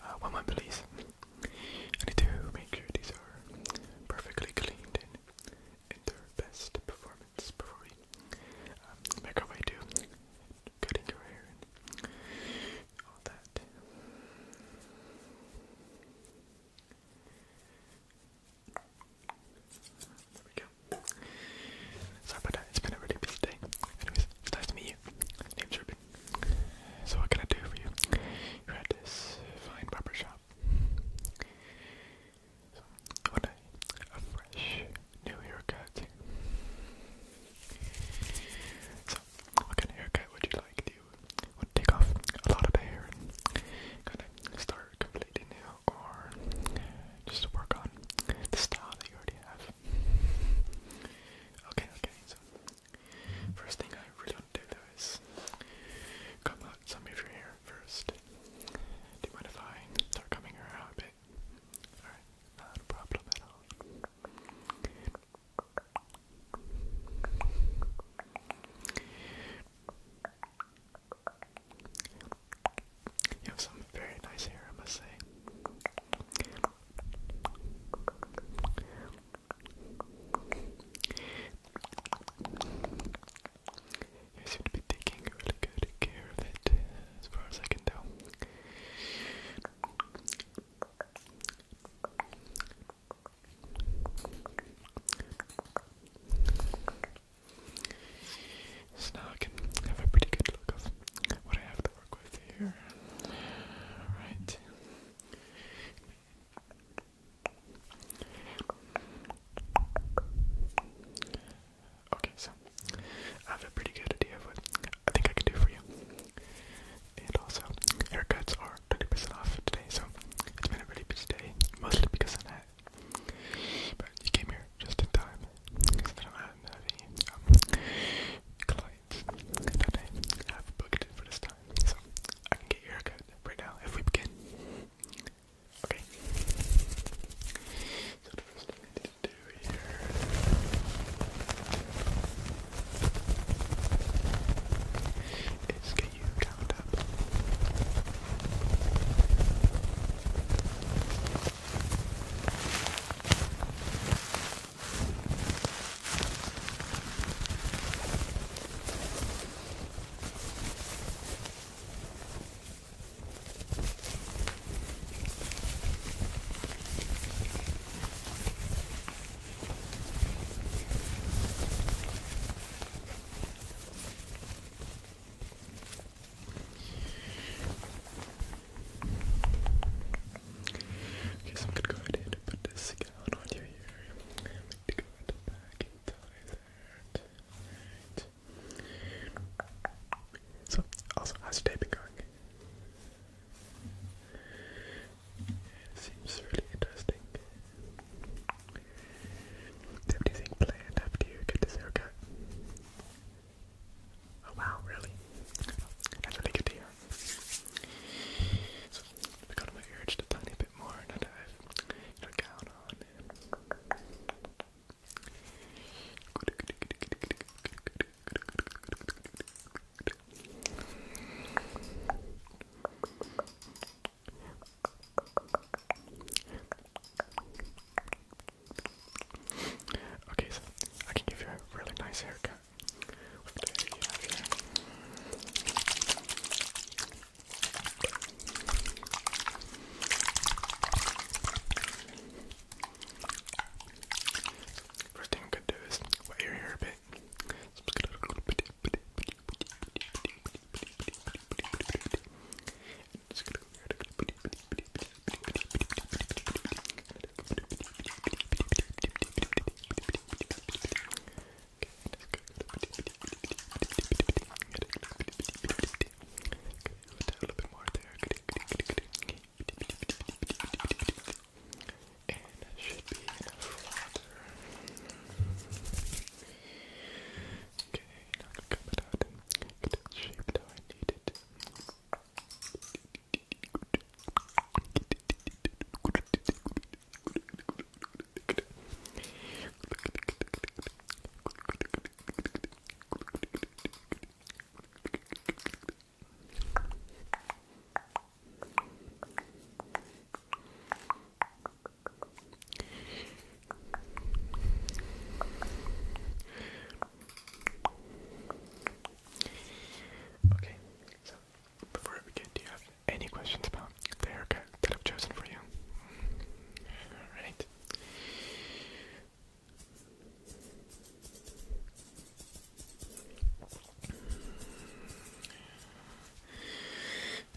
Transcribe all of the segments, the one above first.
Uh, one more, please. I need to make sure these are perfectly cleaned and in their best performance before we make um, our way to cutting your hair and all that. Sorry about that, it's been a really busy day. Anyways, it's nice to meet you. Name's Ruben. So what can I do for you? You're this fine barber shop. So I want a, fresh new haircut. So what kind of haircut would you like? would take off a lot of the hair and kind of start completely new or just work on the style that you already have. Okay, okay, so first thing I really want to do though is comb out some of your hair first. Do you mind if I start combing your a bit? Alright, not a problem at all. You have some very nice hair, I must say. You seem to be taking really good care of it, as far as I can tell. So now I can have a pretty good look of what I have to work with here. Alright. Okay, so I have a pretty good idea of what I think I can do for you. And also, haircuts are twenty percent off today, so it's been a really busy day, mostly because of that. But you came here just in time, because I don't clients that I have booked for this time, so I can get your haircut right now if we begin. Okay. So the first thing I need to do here is can you count up? Okay, so I'm gonna go ahead and put this gown on you here. I'm going the back and So, also, how's your day been going? It seems really interesting. have anything planned after you get this haircut? Oh wow, really? That's really good to hear. I got my ear just a tiny bit more now I've got a gown on. Good, Okay, so I can give you a really nice haircut. First thing we could do is wet your hair a bit Okay, a little bit more there. Okay, okay, okay, okay and it should be enough water. Okay, now I'm gonna cup it out and get it shaped how I need it. Okay, Okay, so before we begin, do you have any questions about the haircut that I've chosen for you? Alright. And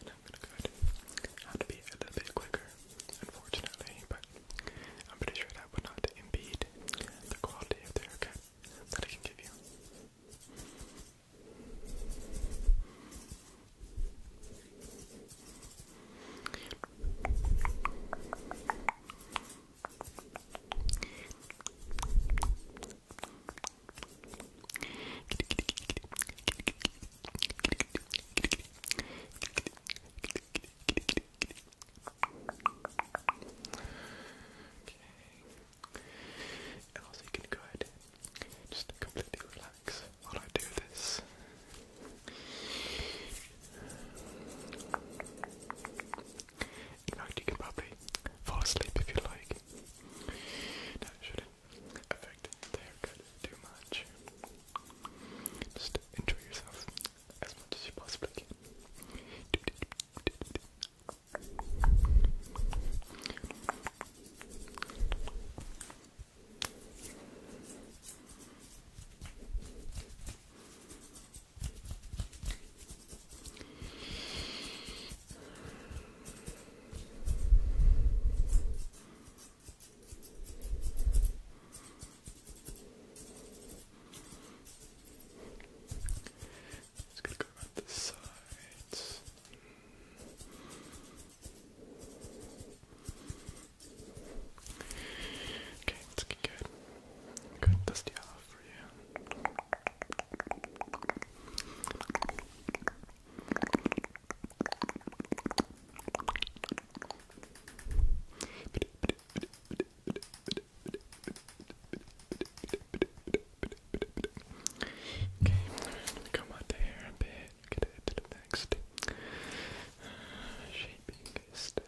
I'm gonna have to be a little bit quicker, unfortunately, but I'm pretty sure that would not impede the quality of the haircut that I can give you. And also, you can go ahead and just completely relax while I do this. In fact, you can probably fall asleep if you like. That shouldn't affect the haircut too much. Just enjoy yourself as much as you possibly can. It's going go around the sides. Okay, it's good. Good, dusty off for you. Okay, I'm gonna comb out the hair a bit, get it to the next uh, shaping step.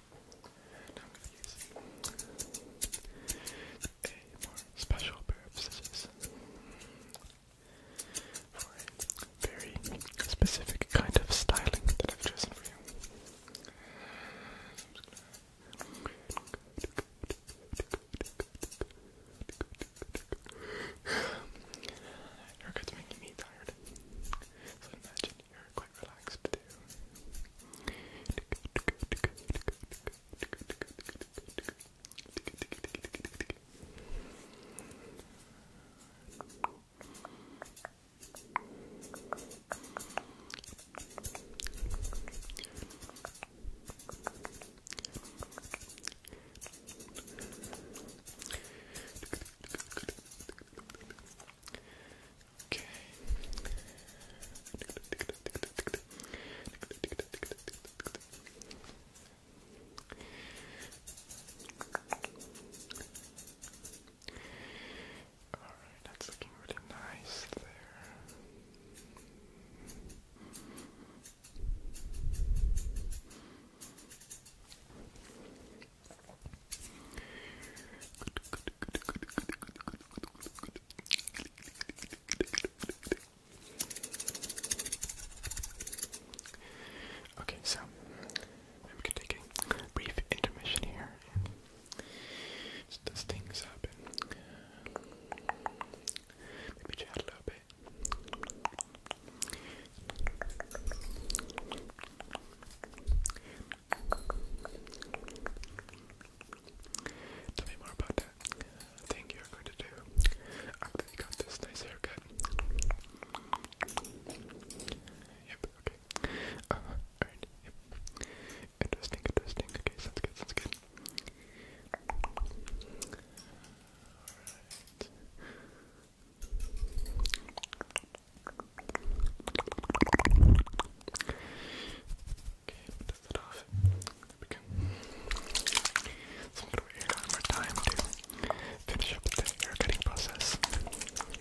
I'm gonna use a more special pair of scissors for a very specific kind of styling that I've chosen for you. So I'm making me tired. So imagine your quite relaxed Okay. Alright, that's looking really nice there. Okay, so I'm going a brief intermission here just things up maybe chat a little bit. Tell me more about that thing you're going to do after you got this nice haircut. Yep, okay. Uh, alright, yep. Interesting, interesting. Okay, sounds good, sounds good. Okay, dust that off. There we go. So I'm gonna wait here more time to finish up the hair cutting process. Okay,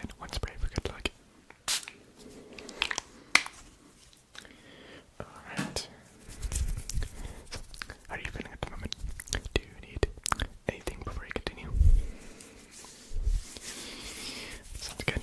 And one spray for good luck. Alright. are you feeling at the moment? Do you need anything before you continue? Sounds good.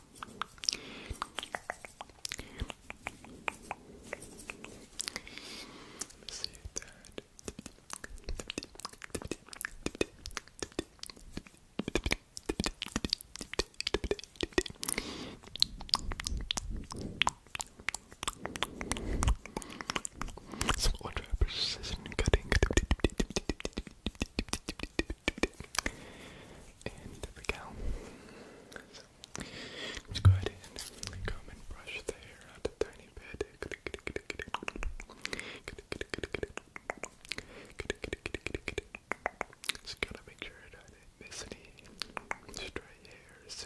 see that. Some odd precision cutting, and there we go. Let's go ahead and comb and brush the hair out a tiny bit. Just gotta make sure that I not miss any stray hairs.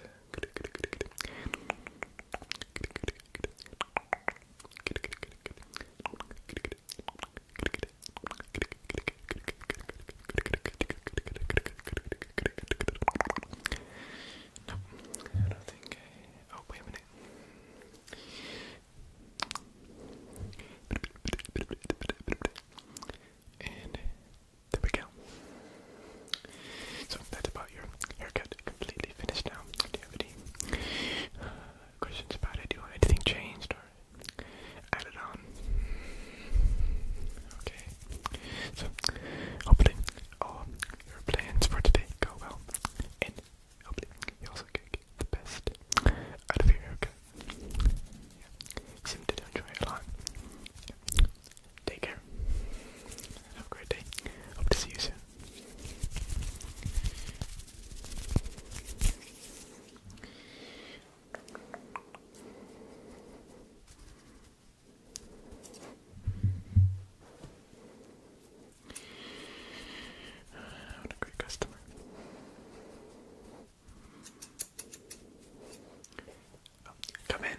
No, Oh, wait a minute. And there we go. So that's about your haircut completely finished now. Do you have any uh, questions about it? Do anything changed Sorry. on. Okay. So, hopefully, all your plans for today go well. And hopefully, you also get the best out of your haircut. Yeah. You seem to it a lot. Take care. Have a great day. Hope to see you soon. What a great customer. Oh, come in.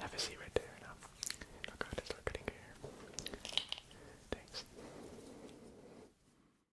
Have a seat right there. No. Oh god, it's not here. Thanks.